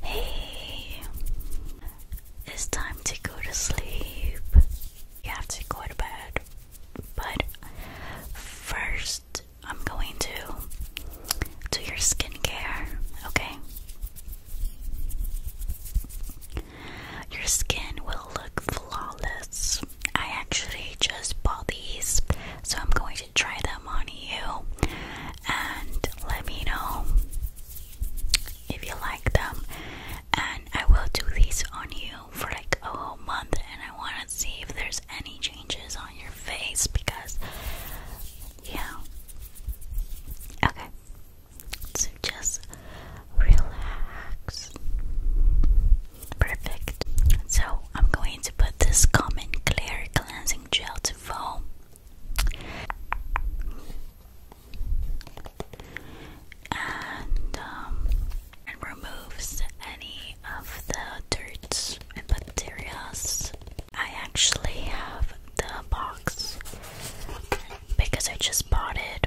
Hey, it's time to go to sleep. You have to go to bed, but first, I'm going to do your skincare, okay? Your skin will look flawless. I actually just bought these, so I'm going to try them on you and let me know if you like them and I will do these on you for like a whole month and I want to see if there's any changes on your face because yeah okay so just relax perfect so I'm going to put this common clear cleansing gel to foam. Um, and, removes any of the dirt and bacterias. I actually have the box because I just bought it.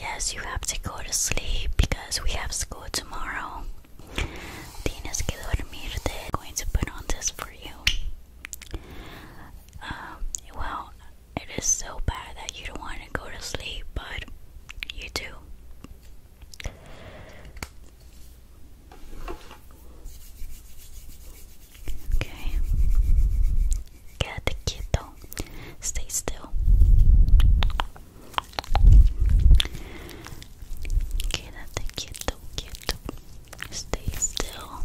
Yes, you have to go to sleep because we have school tomorrow. Tienes que dormirte. I'm going to put on this for you. Um, well, it is so bad that you don't want to go to sleep, but you do. Okay. Quédate quieto. Stay still. Quédate quieto, quieto. Stay still.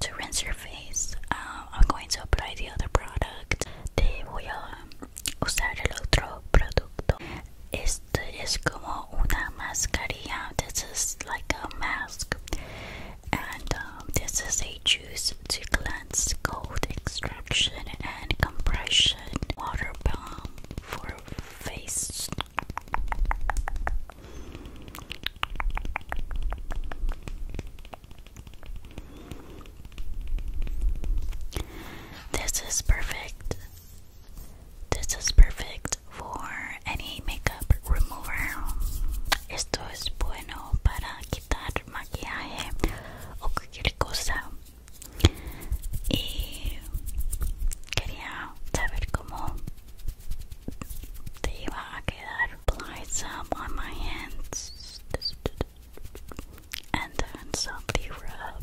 to rinse your face, um, I'm going to apply the other product. Te voy a usar el otro producto. This is like a mask. And um, this is a juice to cleanse cold extraction and compression water balm for face This is perfect. This is perfect for any makeup remover. Esto es bueno para quitar maquillaje o cualquier cosa. Y quería saber cómo te iba a quedar on my hands and then softly rub.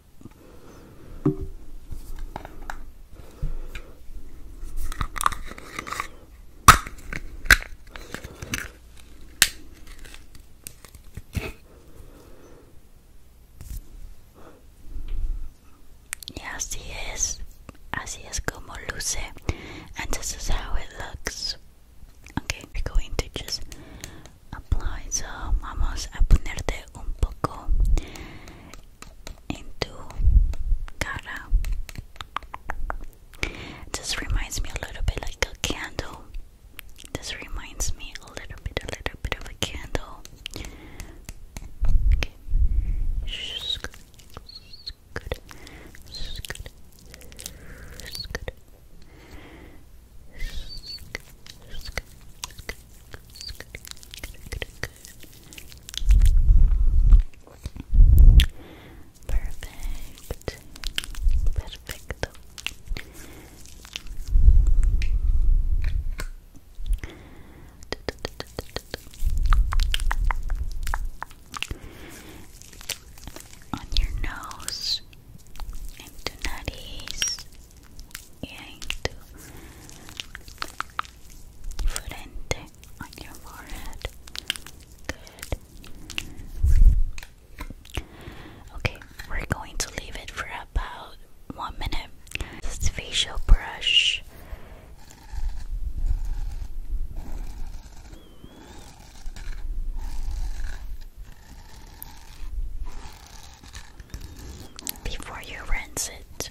Yes, Y así es, así es como luce, and this is how it looks. Okay, we're going to just applies uh, vamos a ponerte un poco in tu this reminds me a little bit like a candle this reminds me a little bit a little bit of a candle Perfect. Perfecto. On your nose, into nariz y into your forehead. Good. Okay, we're going to leave it for about one minute. This facial brush before you rinse it.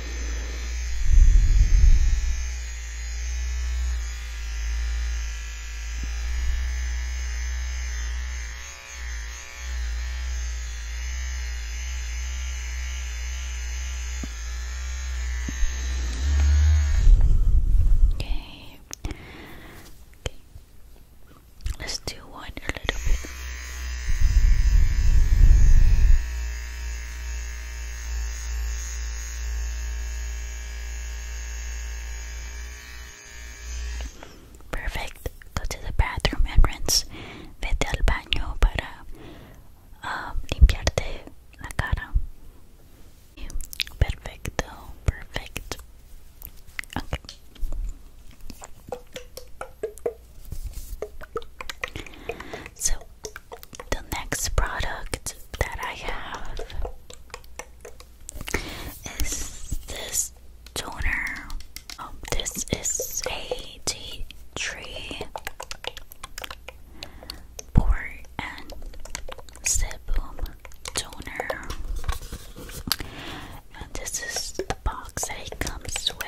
Okay. Okay. Let's do Perfect. Go to the bathroom and rinse. Vete al baño para um, limpiarte la cara. Perfecto, perfect. Okay. So, the next product that I have is this toner. Um, this is a tea tree pour and sebum toner this is the box that it comes with.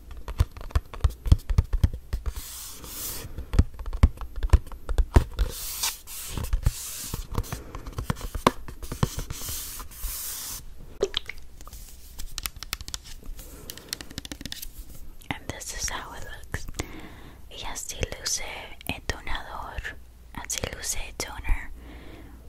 And this is how it looks. Y así luce el tonador. Así luce el toner.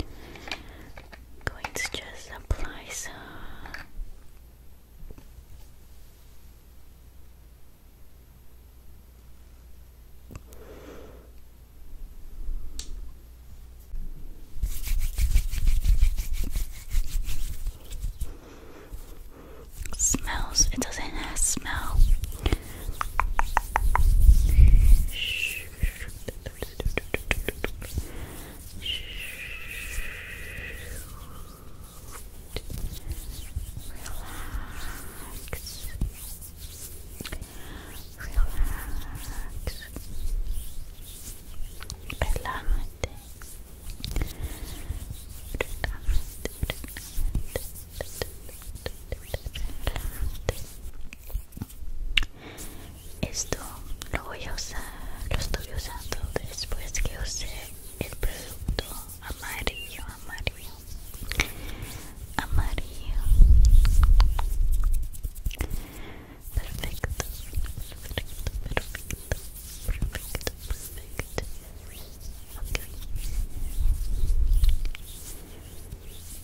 i going to just apply some. Smells, it doesn't have smell. Shh. Relax. Relax. Relájate. Esto lo voy a usar, lo estoy usando después que usé el producto amarillo, amarillo, amarillo. Perfecto, perfecto, perfecto, perfecto, perfecto. ok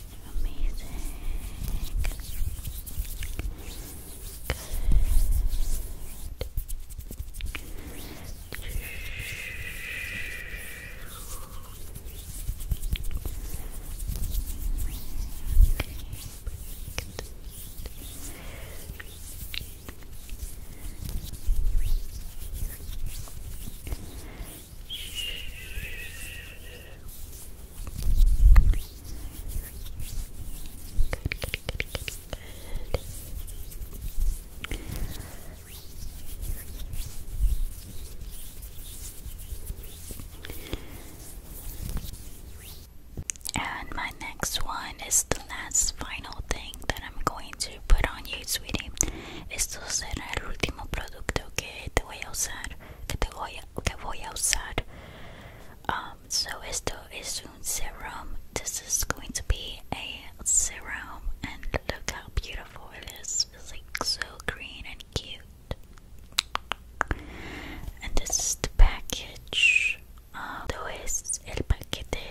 Amazing. Good. And my next one is the last final thing that I'm going to put on you, sweetie. Esto será el último producto mucho que te voy a usar que te voy a, que voy a usar um, so esto es un serum this is going to be a serum and look how beautiful it is it's like so green and cute and this is the package uh, esto es el paquete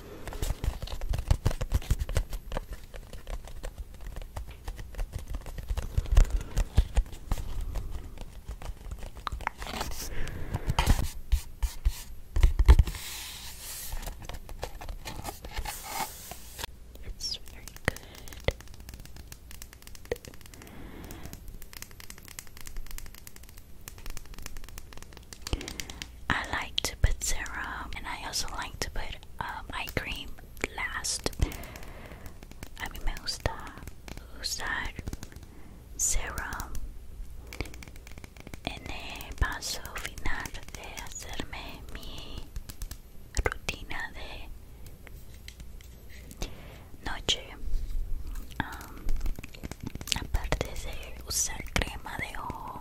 It's very good. I like to put serum and I also like to put um, eye cream last. A me gusta usar uh, serum en el paso final de hacerme mi rutina de noche. Um, aparte de usar crema de ojo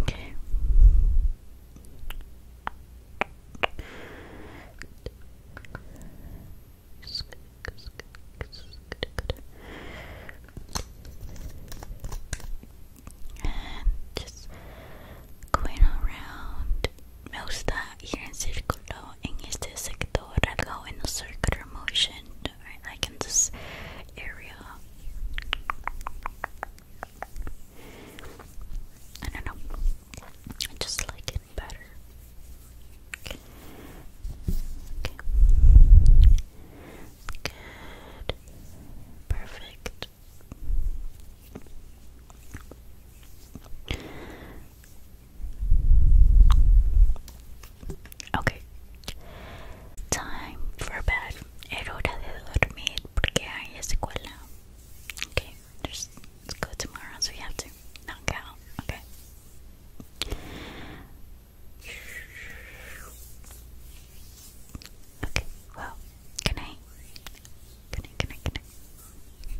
Okay. And just going around me gusta ir en círculo en este sector, right? like in this area. I don't know, I just like it better. okay. Good. Perfect. Ok. Time for bed. Era hora de dormir porque hay escuela. Okay, there's go tomorrow, so we have to knock out. Okay. Okay, well, good night. Good night,